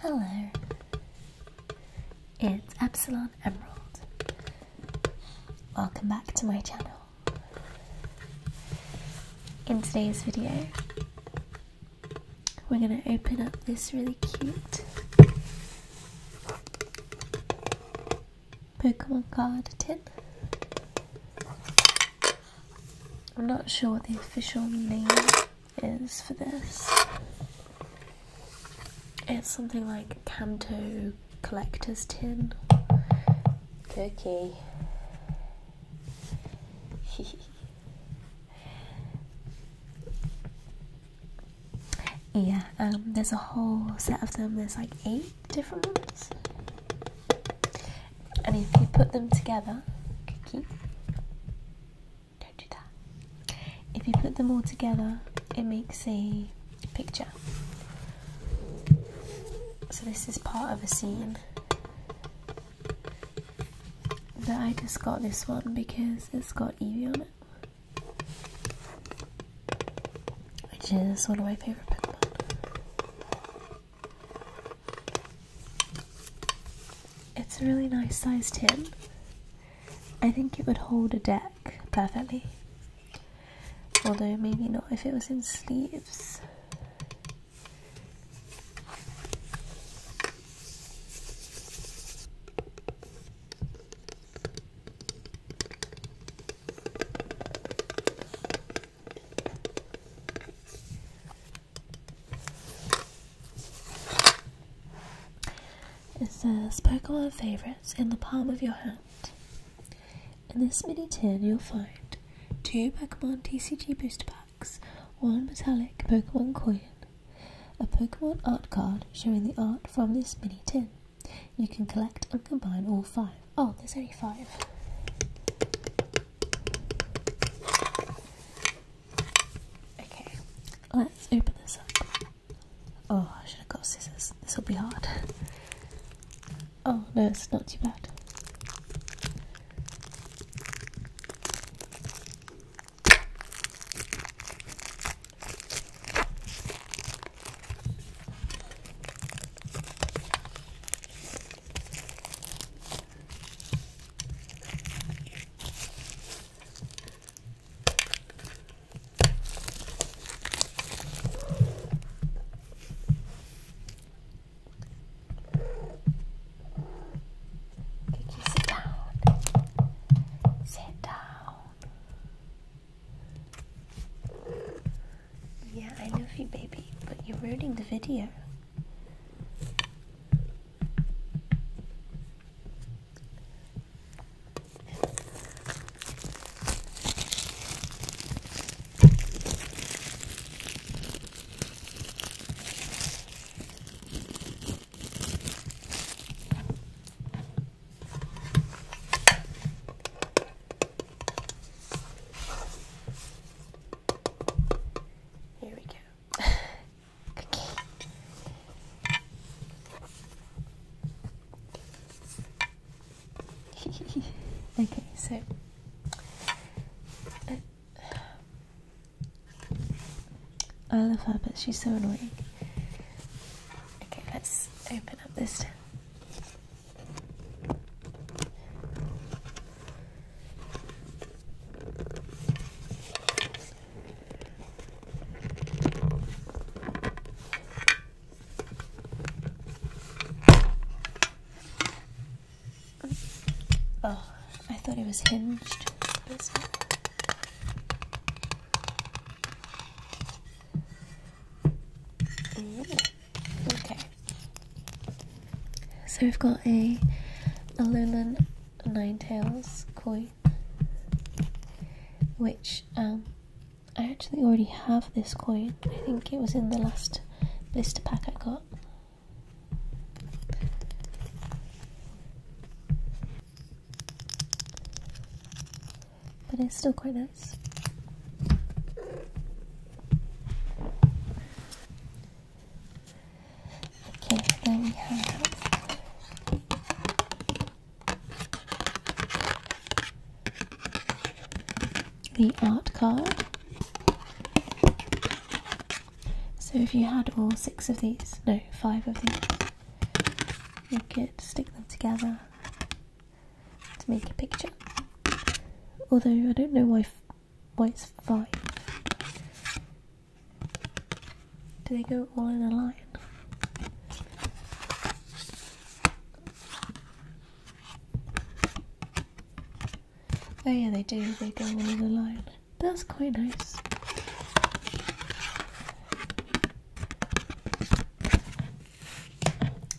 Hello, it's Epsilon Emerald. Welcome back to my channel. In today's video, we're going to open up this really cute Pokemon card tin. I'm not sure what the official name is for this. It's something like Camto Collector's Tin. Turkey. yeah, um, there's a whole set of them. There's like eight different ones and if you put them together, don't do that. If you put them all together, it makes a picture. So this is part of a scene. But I just got this one because it's got Evie on it, which is one of my favorite people. It's a really nice size tin. I think it would hold a deck perfectly. Although maybe not if it was in sleeves. It says Pokemon Favorites in the palm of your hand. In this mini tin, you'll find two Pokemon TCG booster packs, one metallic Pokemon coin, a Pokemon art card showing the art from this mini tin. You can collect and combine all five. Oh, there's only five. Okay, let's open this up. Oh, I should have got scissors. This will be hard. Oh, no, it's not too bad. Did you sit down? Sit down. Yeah, I love you, baby, but you're ruining the video. Here we go. Okay. okay, so uh, I love her, but she's so annoying. Okay, let's open up this. Oh, I thought it was hinged. This one okay. So we've got a Nine Tails coin, which um, I actually already have this coin. I think it was in the last blister pack I got. But it's still quite nice. Okay, then we have the art card. So if you had all six of these, no, five of these, you could stick them together to make a picture. Although I don't know why why it's five. Do they go all in a line? Oh yeah, they do. They go all in a line. That's quite nice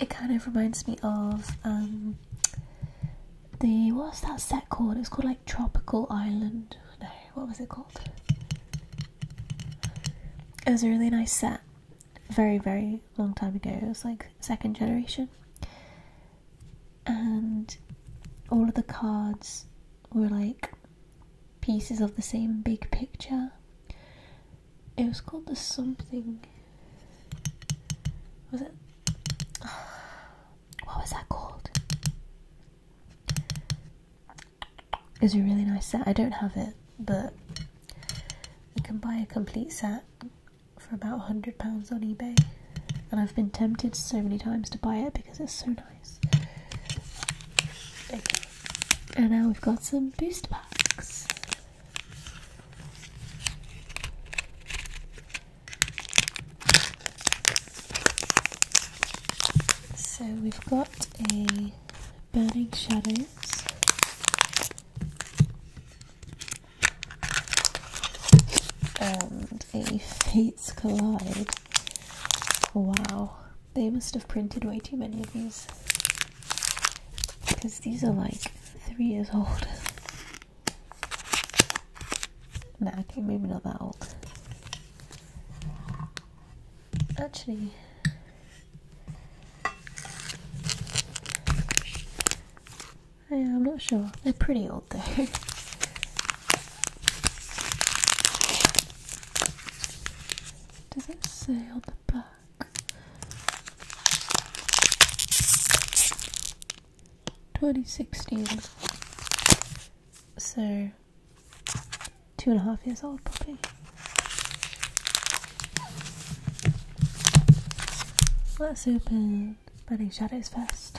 it kind of reminds me of um, the what's that set called? It's called like Tropical Island. No, what was it called? It was a really nice set. Very, very long time ago. It was like second generation. And all of the cards were like pieces of the same big picture. It was called the something. Was it? What was that called? It's a really nice set. I don't have it, but you can buy a complete set for about £100 on eBay. And I've been tempted so many times to buy it because it's so nice. And now we've got some booster packs. So we've got a Burning Shadows. And a Fates Collide. Wow, they must have printed way too many of these. Because these are like three years old. Nah, okay, maybe not that old. Actually, yeah, I'm not sure. They're pretty old though. Does it say on the back? 2016. So, two and a half years old, puppy. Let's open Burning Shadows first.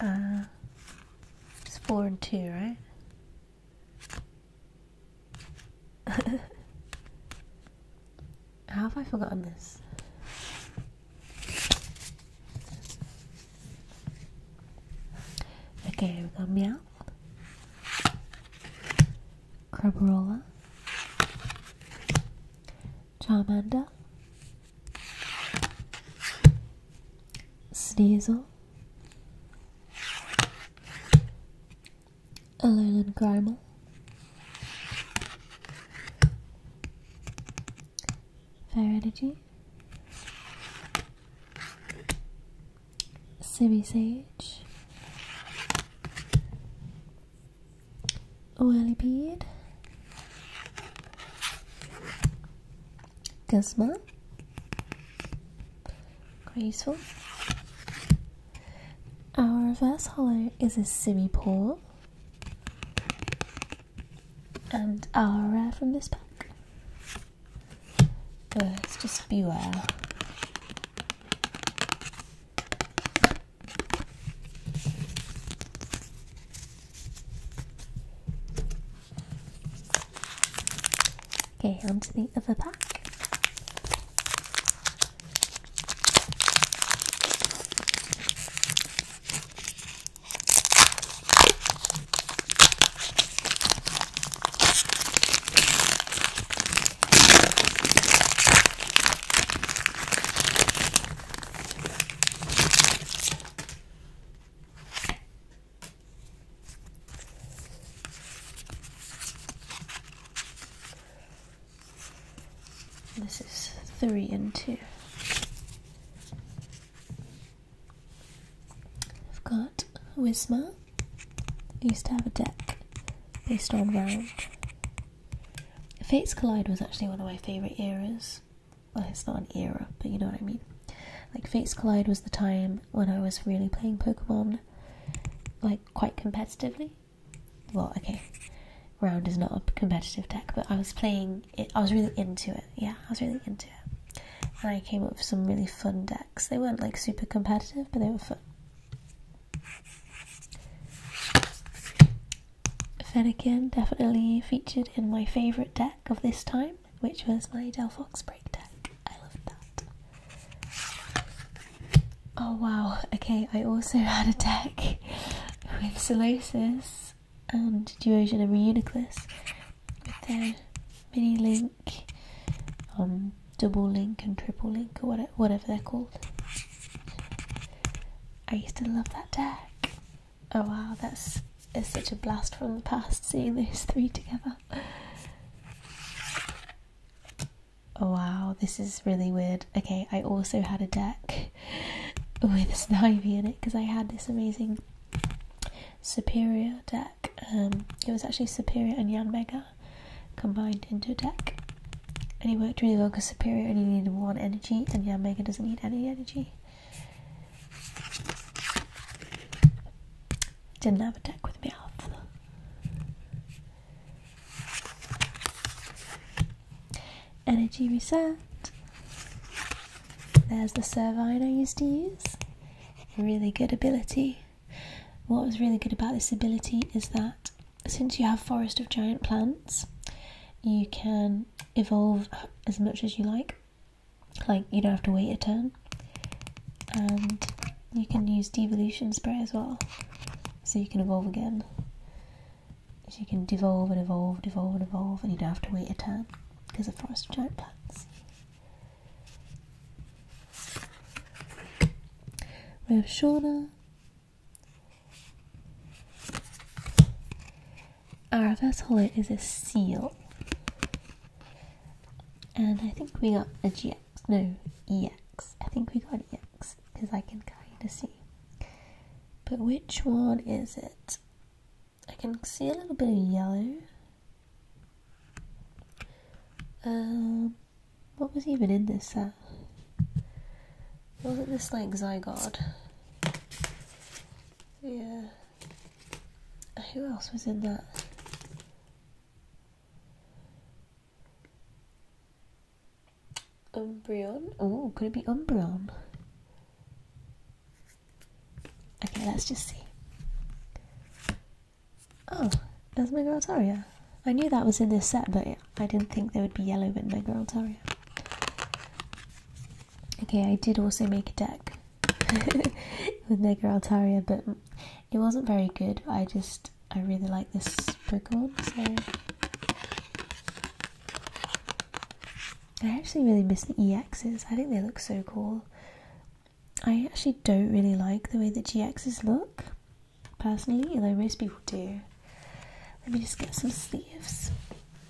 Uh, it's four and two, right? How have I forgotten this? Okay, we've got Meowth, Crabrola, Charmander, Sneasel, Aluminum caramel. Fire Energy. Simi Sage. Whirly Bead. Guzman. Quite useful. Our reverse hollow is a Simipour. And our rare from this pack. Uh, just beware. Okay, onto the other pack. This is three and two. I've got Wisma. used to have a deck based on round. Fates Collide was actually one of my favourite eras well, it's not an era, but you know what I mean. Like Fates Collide was the time when I was really playing Pokemon, like quite competitively. Well, okay, Round is not a competitive deck, but I was playing I was really into it. Yeah, I was really into it, and I came up with some really fun decks. They weren't like super competitive, but they were fun. Fennekin definitely featured in my favourite deck of this time which was my Delphox break deck. I loved that. Oh wow, okay, I also had a deck with Solosis and Duosian and Reuniclus with their mini link, um, double link and triple link or whatever, whatever they're called. I used to love that deck. Oh wow, that's is such a blast from the past seeing those three together. Oh wow, this is really weird. Okay, I also had a deck with Snivy in it because I had this amazing Superior deck. Um, it was actually Superior and Yan Mega combined into a deck. And it worked really well because Superior only needed one energy and Yan Mega doesn't need any energy. Didn't have a deck with me off. Energy reset. There's the Servine I used to use. Really good ability. What was really good about this ability is that since you have Forest of Giant Plants, you can evolve as much as you like like you don't have to wait a turn and you can use devolution spray as well so you can evolve again you can devolve and evolve evolve and evolve and you don't have to wait a turn because of forest giant plants we have Shauna our first holo is a seal. And I think we got a GX. No, EX. I think we got EX because I can kind of see. But which one is it? I can see a little bit of yellow. Um, what was even in this set? Uh, Wasn't this like Zygarde? Yeah. Who else was in that? Umbreon? Oh, could it be Umbreon? Okay, let's just see. Oh, there's my Altaria. I knew that was in this set, but I didn't think there would be yellow in my Altaria. Okay, I did also make a deck with Mega Altaria, but it wasn't very good. I just, I really like this Brigord, so. I actually really miss the Exes. I think they look so cool. I actually don't really like the way that GXs look, personally, although most people do. Let me just get some sleeves.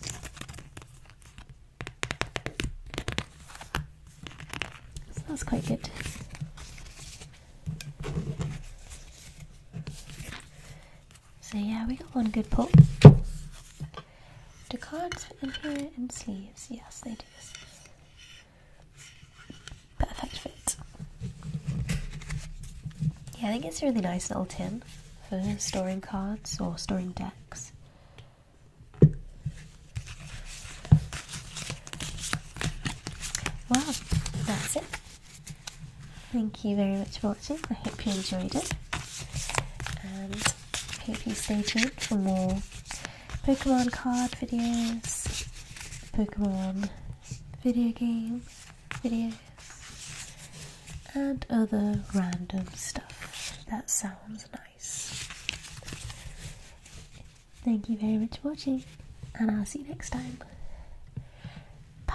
So that's quite good. So yeah, we got one good pull. The cards in here and sleeves? Yes, they do. Perfect fit. Yeah, I think it's a really nice little tin for storing cards or storing decks. Well, that's it. Thank you very much for watching. I hope you enjoyed it. And hope you stay tuned for more Pokemon card videos, Pokemon video games, videos and other random stuff that sounds nice. Thank you very much for watching and I'll see you next time. Bye.